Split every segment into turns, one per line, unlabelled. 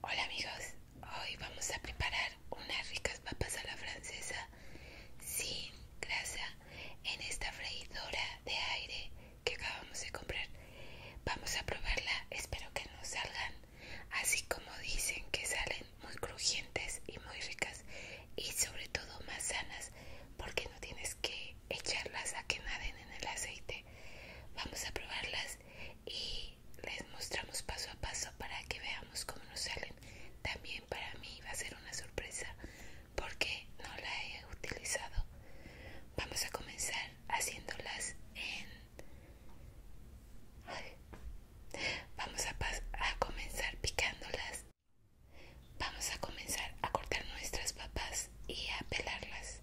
Hola amigos, hoy vamos a preparar unas ricas papas a la francesa sin grasa en esta freidora de aire que acabamos de comprar. Vamos a probarla, espero que nos salgan así como dicen que salen muy crujientes y muy ricas y sobre todo más sanas porque no tienes que echarlas a que naden en el aceite. Vamos a probarlas y les mostramos paso a paso para que veamos cómo nos salen. También para mí va a ser una sorpresa porque no la he utilizado. Vamos a comenzar haciéndolas en... Vamos a comenzar picándolas. Vamos a comenzar a cortar nuestras papas y a pelarlas.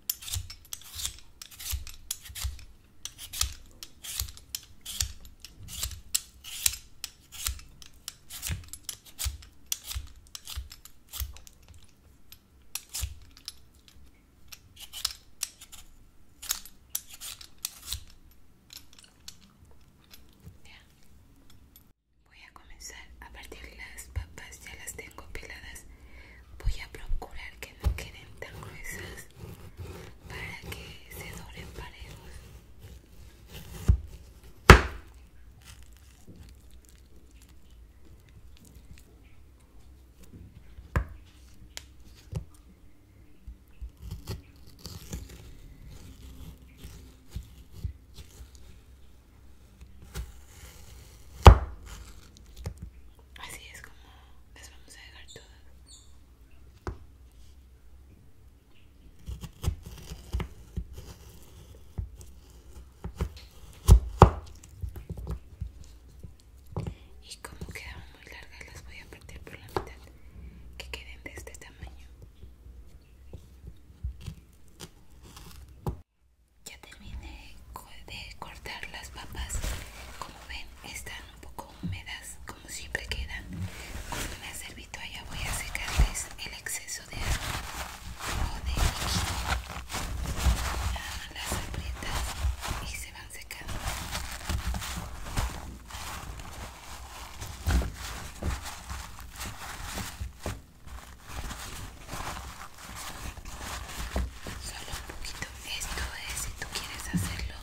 Voy a comenzar a partir las papas, ya las tengo peladas voy a procurar que no queden tan gruesas para que se doblen parejos Así es como las vamos a dejar todas. Y como quedaban muy largas las voy a partir por la mitad, que queden de este tamaño. Ya terminé de cortar las papas. Como ven, están un poco húmedas, como siempre quedan. Con una allá voy a secarles el exceso de agua o de Las aprietas y se van secando. Solo un poquito. Esto es si tú quieres hacerlo.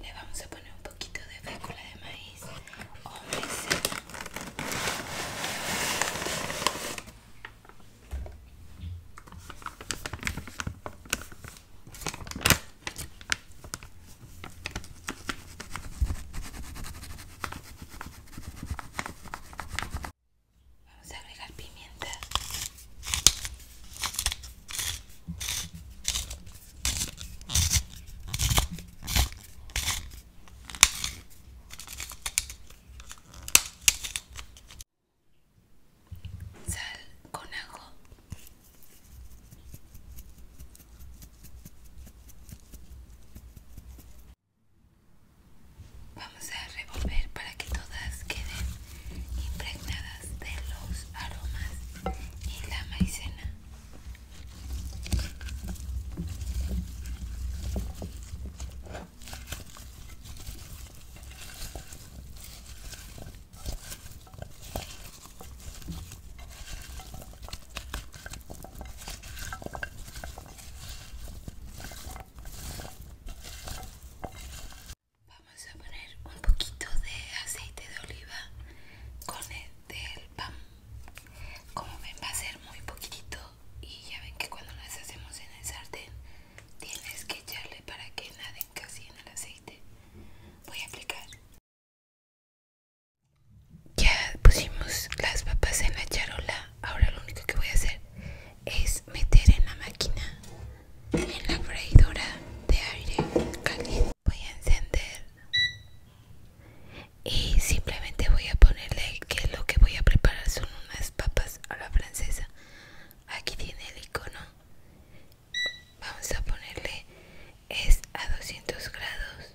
Le vamos a poner un poquito de fécula de maíz Vamos a agregar pimienta. Sal con ajo. Vamos a revolver para que todas queden impregnadas de los aromas y la maicena. Vamos a poner un poquito de aceite de oliva con el del pan. Como ven va a ser muy poquito y ya ven que cuando las hacemos en el sartén tienes que echarle para que naden casi en el aceite. Voy a aplicar ya pusimos las papas en la charola ahora lo único que voy a hacer es meter en la máquina en la freidora de aire caliente voy a encender y simplemente voy a ponerle que lo que voy a preparar son unas papas a la francesa aquí tiene el icono vamos a ponerle es a 200 grados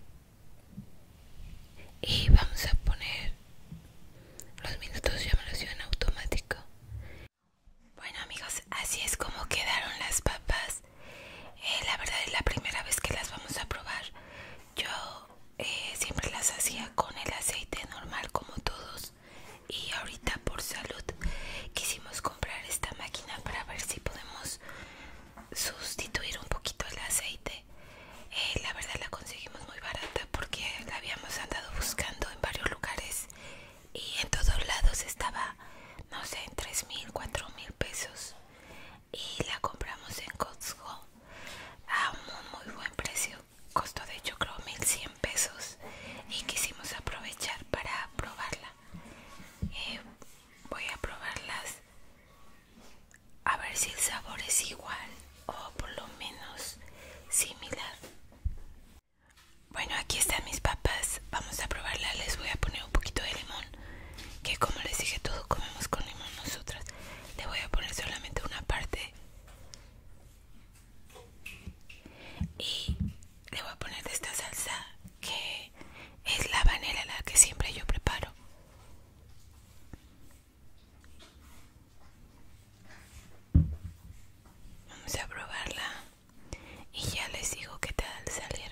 y vamos a poner los minutos ya me en automático bueno amigos así es como quedaron las papas eh, la verdad es la primera vez que las vamos a probar yo eh, siempre las hacía con el aceite normal como todos y ahorita por salud quisimos comprar esta máquina para ver si podemos sustituir un poquito el aceite eh, la verdad la conseguimos muy barata porque la habíamos andado buscando en varios lugares y en todos lados estaba no sé en tres mil mil pesos y la compramos en Costco a un muy buen precio costó de hecho creo 1100 pesos y quisimos aprovechar para probarla eh, voy a probarlas a ver si el sabor es igual o por lo menos similar bueno aquí están mis papas vamos a probarla les voy a poner un poquito de limón que como les dije todo comemos con limón nosotras le voy a poner solamente una parte y le voy a poner de esta salsa que es la vanela la que siempre yo preparo Vamos a probarla y ya les digo qué tal salieron.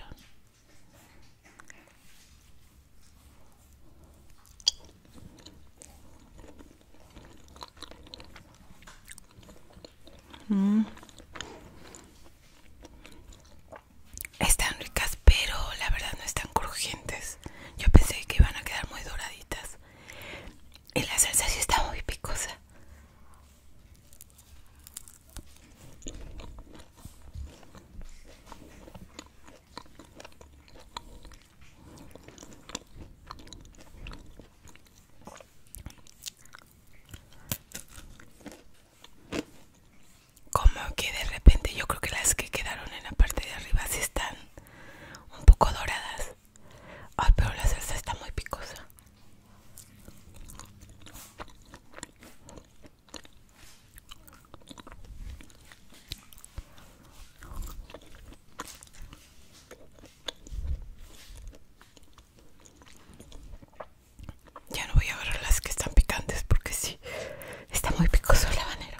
Están ricas, pero la verdad no están crujientes. Yo pensé que iban a quedar muy doraditas. Y la salsa sí está muy picosa como que de repente yo creo que las que quedaron en la parte de arriba sí están un poco doradas. Ay, pero la salsa está muy picosa. Ya no voy a ver las que están picantes porque sí, está muy picoso el habanero.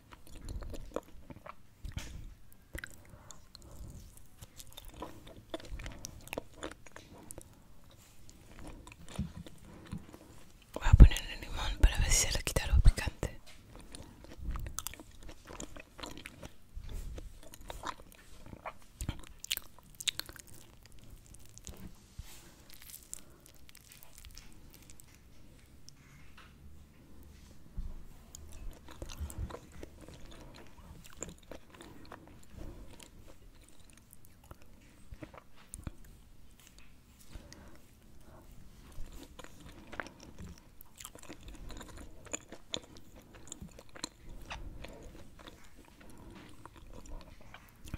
Voy a ponerle limón para ver si se le quita lo picante.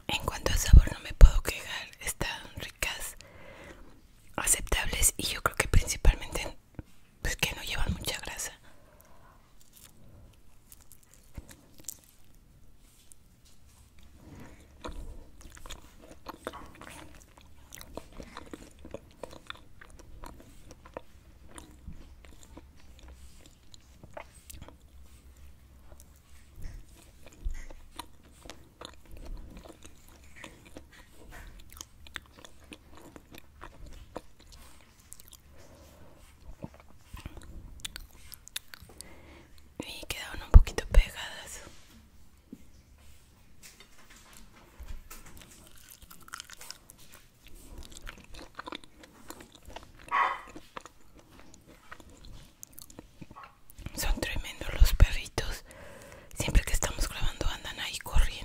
En cuanto al sabor no me puedo quejar, están ricas, aceptables y yo creo que principalmente pues que no llevan mucha grasa y quedaron un poquito pegadas son tremendos los perritos Siempre que estamos grabando andan ahí corriendo.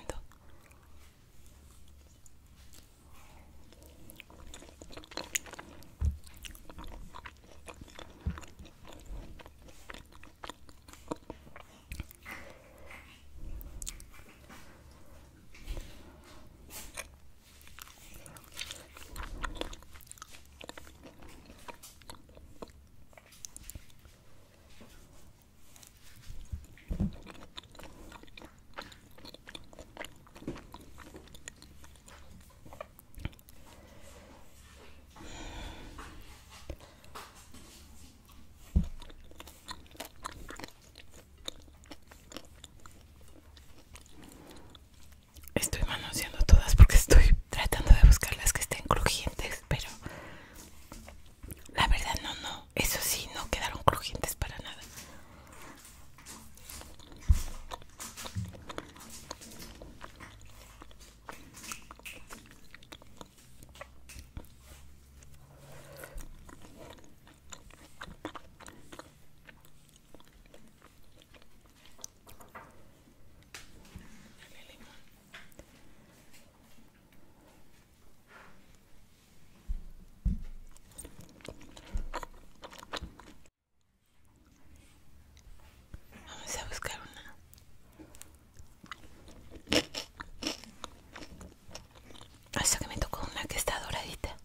Estoy manoseando todas porque estoy tratando de buscar las que estén crujientes, pero la verdad no, no. Eso sí, no quedaron crujientes para nada. Vamos a buscar una. Hasta ah, que me tocó una que está doradita.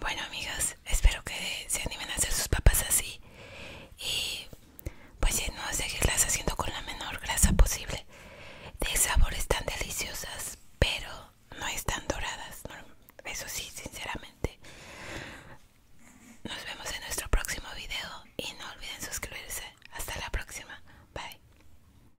Bueno amigas, espero que se animen a hacer sus papas así y pues no seguirlas haciendo con la menor grasa posible. De sabores están deliciosas, pero no están doradas. eso sí, sinceramente. Nos vemos en nuestro próximo video y no olviden suscribirse. Hasta la próxima. Bye.